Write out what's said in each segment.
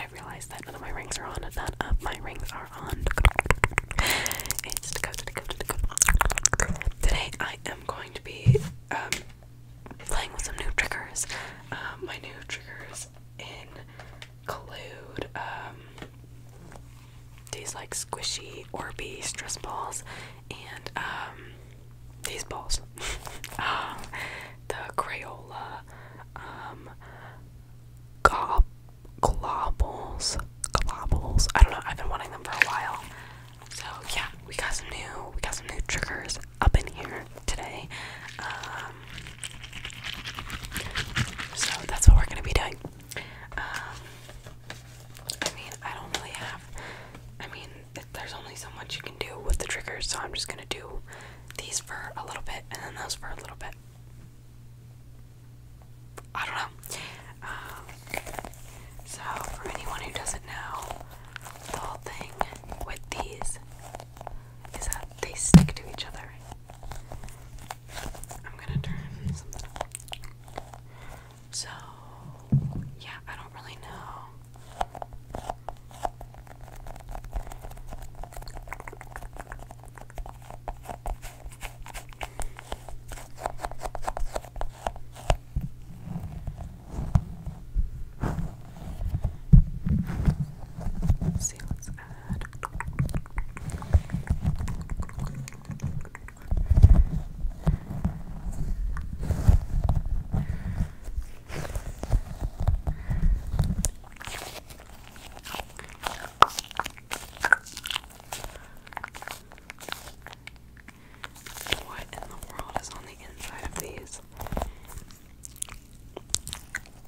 I realized that none of my rings are on. None of my rings are on. It's Today I am going to be um, playing with some new triggers. Um, my new triggers include um, like squishy Orby stress balls and um, these balls. Um, the Crayola, um, glob globbles, globbles. I don't know. I've been wanting them for a while. So yeah, we got some new, we got some new triggers up in here today. Um, so that's what we're gonna be doing. I mean, I don't really have. I mean, there's only so much you can do with the triggers, so I'm just gonna do these for a little bit and then those for a little bit. I don't know. Uh, so, for anyone who doesn't know, the whole thing with these is that they stick to each other. I'm gonna turn something So, yeah, I don't really know. Let's see, let's add what in the world is on the inside of these?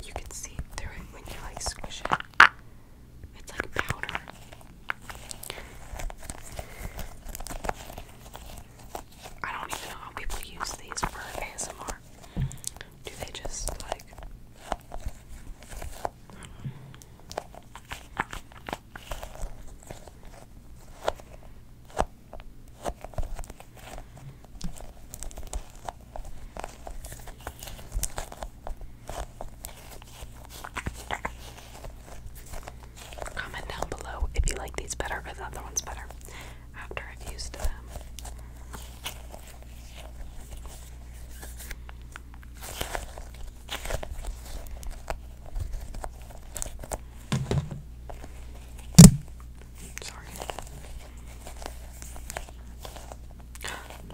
You can see through it when you like squish it. It's like powder. I don't even know how people use these for ASMR. Do they just like. Comment down below if you like these better or the other ones better after I've used them. Sorry.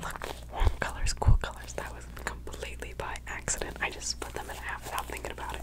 Look, warm colors, cool colors. That was completely by accident. I just split them in half without thinking about it.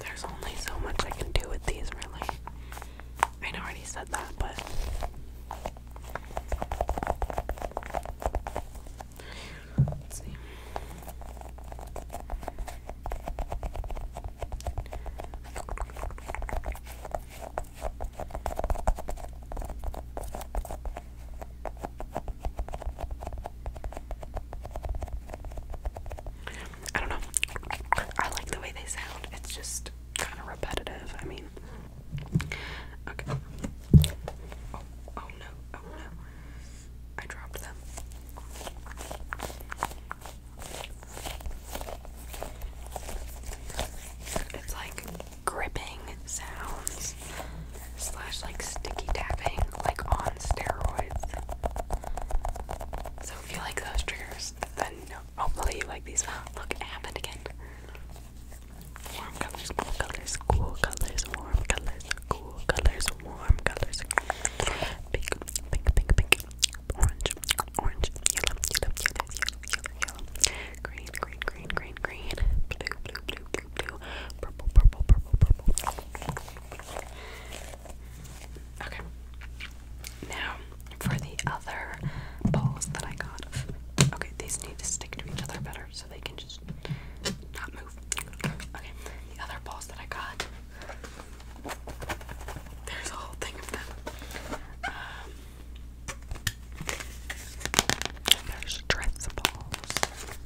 There's only so much I can do with these, really. I know already said that, but. Let's see. I don't know. I like the way they sound. It's just kind of repetitive. I mean, okay. Oh, oh no, oh no. I dropped them. It's like gripping sounds slash like sticky tapping, like on steroids. So if you like those triggers, then hopefully you like these. Look, it happened again. Warm colors, cool colors, cool colors, warm colors, cool colors, warm colors. Pink, pink, pink, pink, orange, orange, yellow, yellow, yellow, yellow, yellow, green, green, green, green, green, blue, blue, blue, blue, blue, purple, purple, purple, purple. Okay. Now for the other balls that I got. Okay, these need to stick to each other better so they can just not move. Okay, the other balls that I got. There's a whole thing of them. Um, there's dress balls.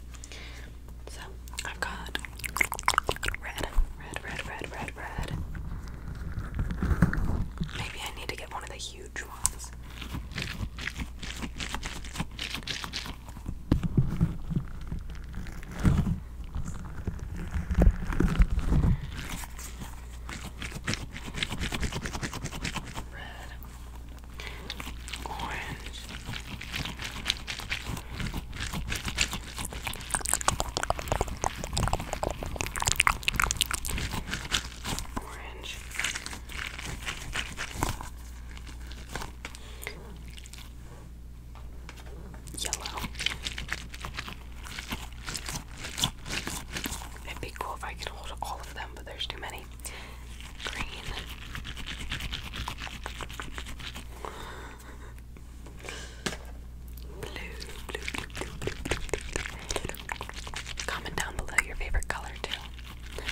So I've got red, red, red, red, red, red. Maybe I need to get one of the huge ones. Red, Orange. Yellow. It'd be cool if I could hold all of them, but there's too many. Green. Blue, blue, blue, Comment down below your favorite color too. Blue.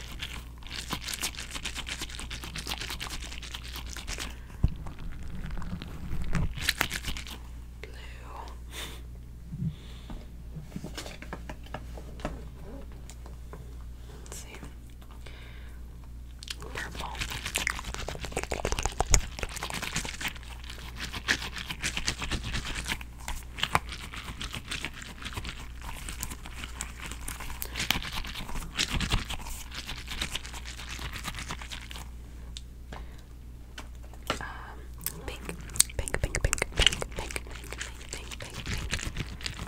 see. Purple. Um, pink, pink, pink, pink, pink, pink, pink, pink, pink, pink, pink,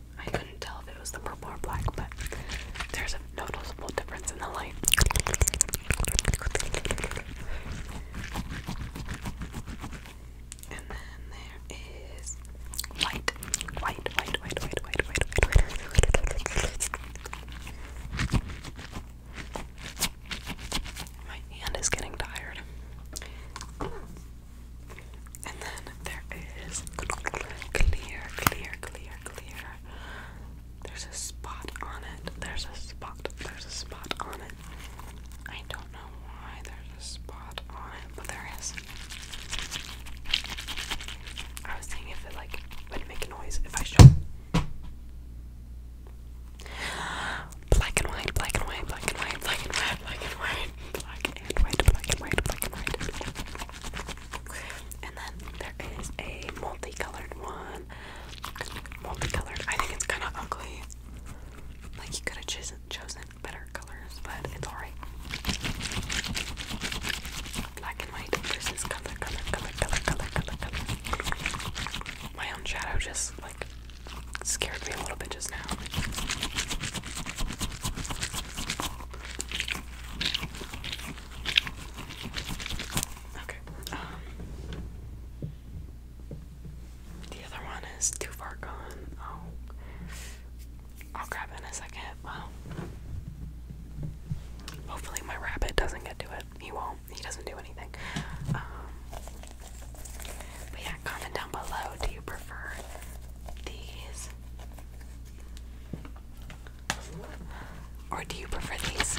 I couldn't tell if it was the purple or black, but there's a noticeable difference in the light. And then there is white, white, white, white, white, white, white, white, white. My hand is getting tired. And then there is clear, clear, clear, clear. There's a spot on it. There's a spot. There's a spot on it. I don't know why there's a spot on it, but there is. I was thinking if it like would make a noise if I showed black and white, black and white, black and white, black and white, black and white, black and white, black and white, black and white. And then there is a multicolored one. Multicolored. I think it's kind of ugly. Like you could have ch chosen better colors, but it's alright. Black and white versus color, color, color, color, color, color, color. My own shadow just like scared me a little bit just now. Okay. Um, the other one is too far gone. Oh, I'll grab it in a second. Well, hopefully my rabbit doesn't get to it. He won't. He doesn't do anything. Um, but yeah, comment down below. Do you prefer these or do you prefer these?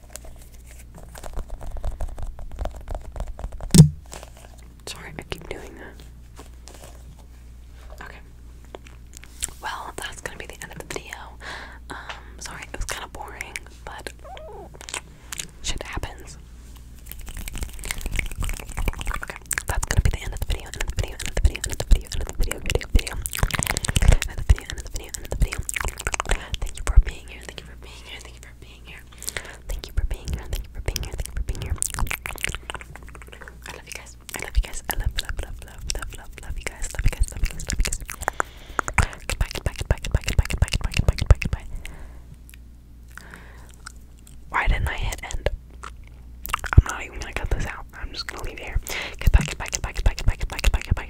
Sorry, I keep doing that. Okay. Well, that's gonna be the end of the video. Um, sorry, it was kind of boring, but shit happens. Okay, that's gonna be the end of the video, end video, end video, end video, end video, video, video, end video, end video, end video. Thank you for being being here. Thank you for being here. Thank you for being here. Thank you for being here. Thank you for being here. Thank you for being here. I love you guys. I love you guys. I love, love, love, love, love, love, love you guys. Love you guys. Love you guys. Love you guys. Goodbye. Goodbye. Goodbye. Goodbye. Goodbye. Goodbye. Goodbye. Goodbye. Goodbye. Goodbye. Why didn't I hit end? I'm not even gonna cut this out. I'm just gonna leave it here. Goodbye. Goodbye. Goodbye. Goodbye. Goodbye. Goodbye. Goodbye. Goodbye.